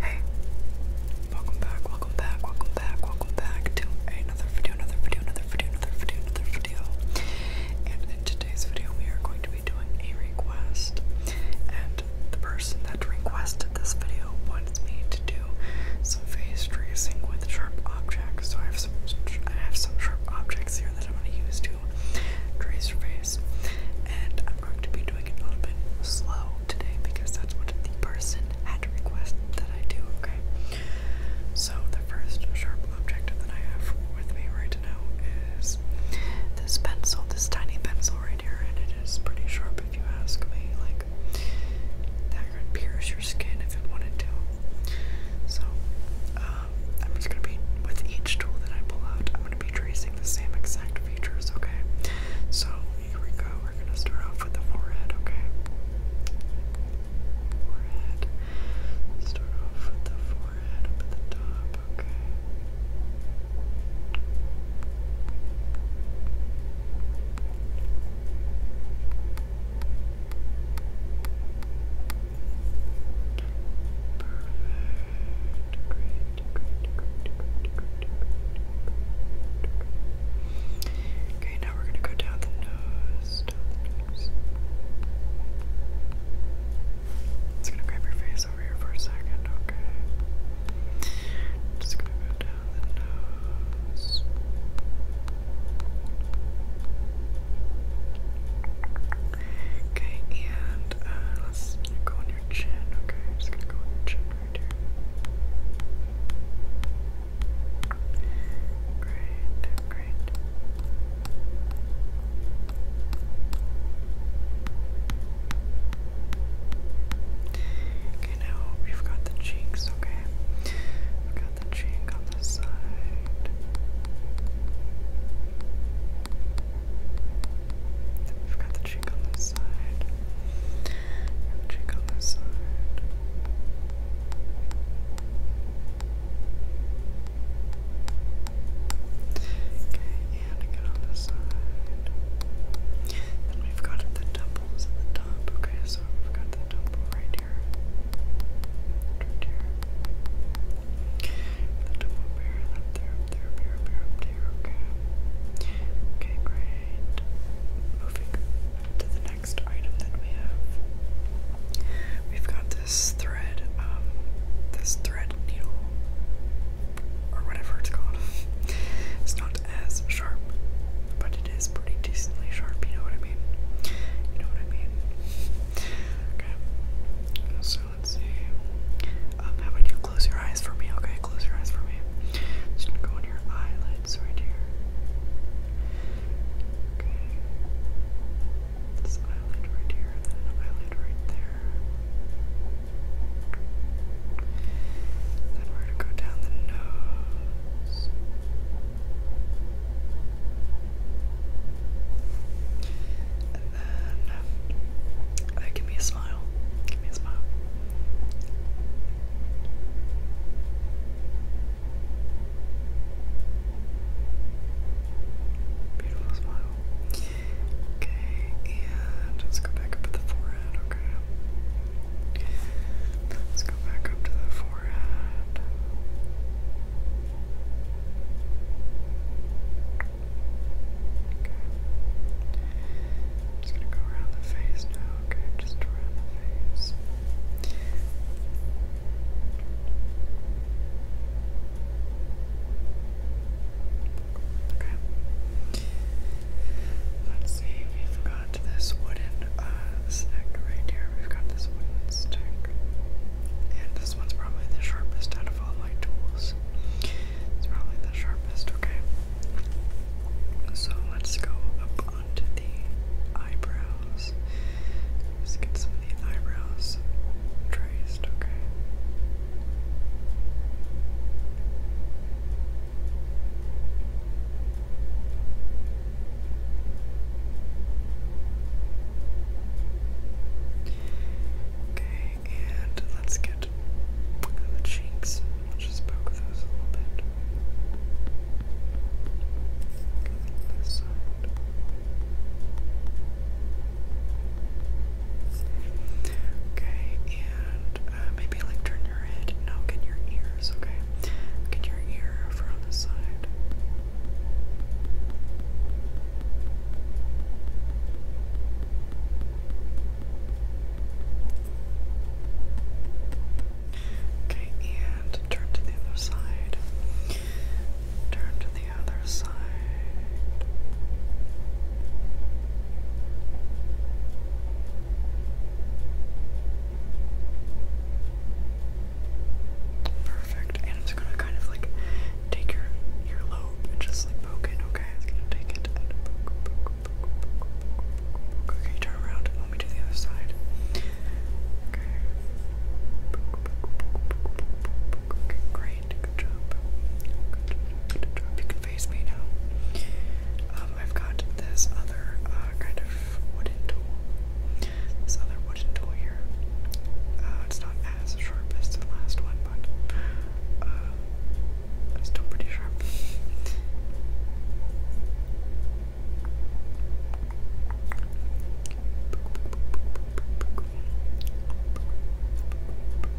Hey, welcome back, welcome back, welcome back, welcome back to another video, another video, another video, another video, And in today's video, we are going to be doing a request. And the person that requested this video wants me to do some face tracing with sharp objects. So I've I have some sharp objects here that I'm going to use to trace your face, and I'm going to be doing it a little bit slow today because that's what the person had requested that I do. Okay, so the first sharp object that I have with me right now is this pencil, this tiny pencil right here, and it is pretty sharp if you ask me. Like that could pierce your skin if it wanted to. So, um, I'm just gonna be, with each tool that I pull out, I'm gonna be tracing the same exact features, okay? So, here we go, we're gonna start off with the forehead, okay? Forehead. Start off with the forehead up at the top, okay? Okay, Perfect. Great, Okay, now we're gonna go Down the nose. It's gonna grab your face over here for a second, okay? Just gonna go down down the Okay, and uh, let's go on your chin. Okay, I'm just gonna go on your chin right here. Great, great. Okay, now we've got the cheeks, okay? We've got the cheek on this side. We've got the cheek on this side. cheek on this side. Okay, and again on this side. Then we've got the top at the top. Okay, so we've got the top right here. Right here. The top up up there, there, up here, up here, Okay. Okay, great. Moving to the next item that we have. We've got this thread, um, this thread needle, or whatever it's called. it's not as sharp, but it is pretty decently sharp, you know what I mean? You know what I mean? Okay. So let's see. Um, how about you close your eyes for me? Okay, close your eyes for me. just go on your eyelids right here. Okay. This eyelid right here, then eyelid right there. Then we're going to go down the nose. And then, uh, give me a smile. Give me a smile. Beautiful smile. Okay, and let's go back up at the forehead. Okay, Let's go back up to the forehead. Okay. just gonna go around the face now, okay? Just around the face. Okay. Let's see, we've got this wooden uh, stick right here. We've got this wooden stick. And this one's probably the sharpest out of all my tools. It's probably the sharpest, okay? So let's go up onto the eyebrows. Let's get some of the eyebrows traced, okay? Okay, and let's get the cheeks. We'll just poke those a little bit. Okay, and uh, maybe like turn your head. No, get your ears, okay? Get your ear over on the side. Okay, and turn to the other side. Turn to the other side. Perfect. And I'm just gonna kind of like take your your and just like poke it, okay? It's gonna take it Okay, turn around let me do the other side. Okay, great. Alright, You can face me now. Um, I've got this other uh, kind of wooden tool. This other wooden tool here. Uh, it's not as sharp as the last one, but uh, still pretty sharp.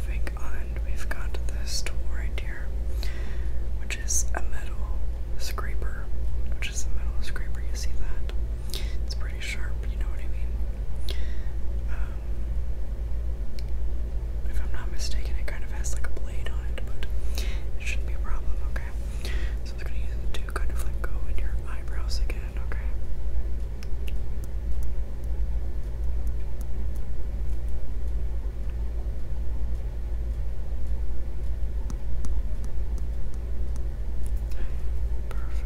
Moving on, we've got this tool right here, which is a metal scraper, which much as metal scraper, you see that. It's pretty sharp, you know what I mean? Um, if I'm not mistaken, it kind of has like a blade on it, but it shouldn't be a problem, okay? So I'm gonna use it to kind of like go in your eyebrows again, Okay, Perfect.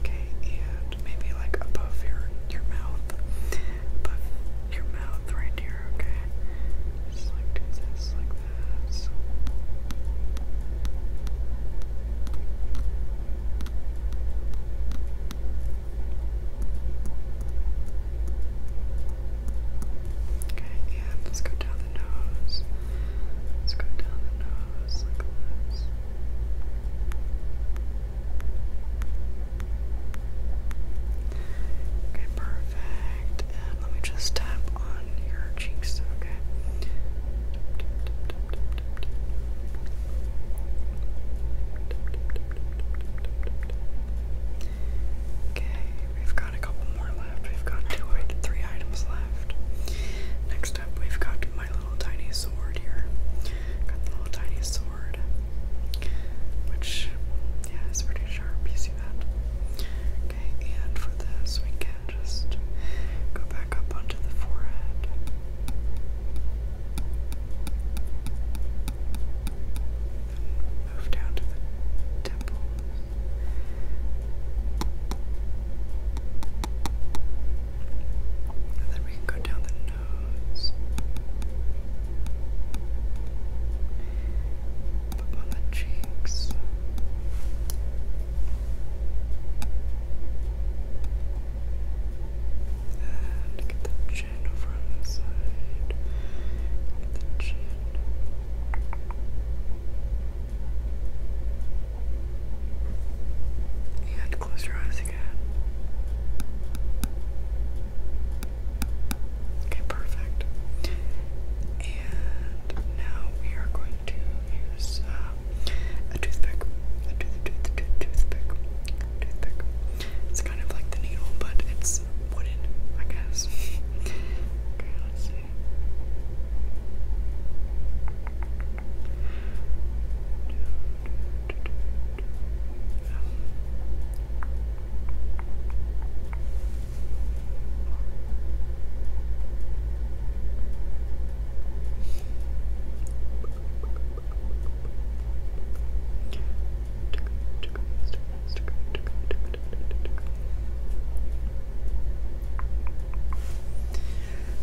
Okay, and maybe like above your your mouth, above your mouth right here. Okay, just like this like this. Okay, yeah, let's go down the nose. Let's go down the nose like this. Okay, perfect. And let me just tap on your cheeks, okay? Okay, we've got a couple more left. We've got two three items left. Next up, we've got my little tiny sword here. Got the little tiny sword, which, yeah, is pretty sharp. You see that? Okay, and for this, we can just go back up onto the forehead. move down to the temples. And then we can go down the nose. Up on the cheeks. And get the chin over on this side. the chin. And close your eyes again. Okay, perfect. And now we are going to use uh, a toothpick. A tooth, tooth, tooth, toothpick. Toothpick. It's kind of like the needle, but it's wooden, I guess. okay, let's see.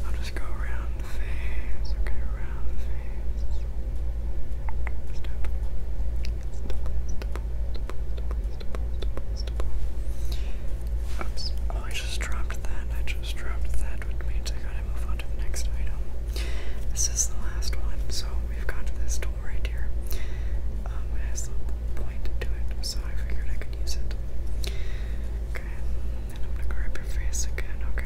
I'll just go around the face, okay, around the face. Step, Oops. Oh, I just dropped that. I just dropped that, which means I gotta move on to the next item. This is the last one, so we've got this tool right here. Um, it has point to it, so I figured I could use it. Okay, and I'm gonna grab your face again, okay?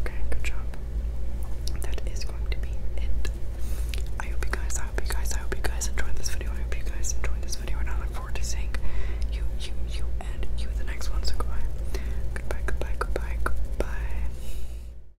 Okay, good job. That is going to be it. I hope you guys, I hope you guys, I hope you guys enjoyed this video. I hope you guys enjoyed this video and I look forward to seeing you, you, you, and you the next one. Goodbye, goodbye, goodbye, goodbye.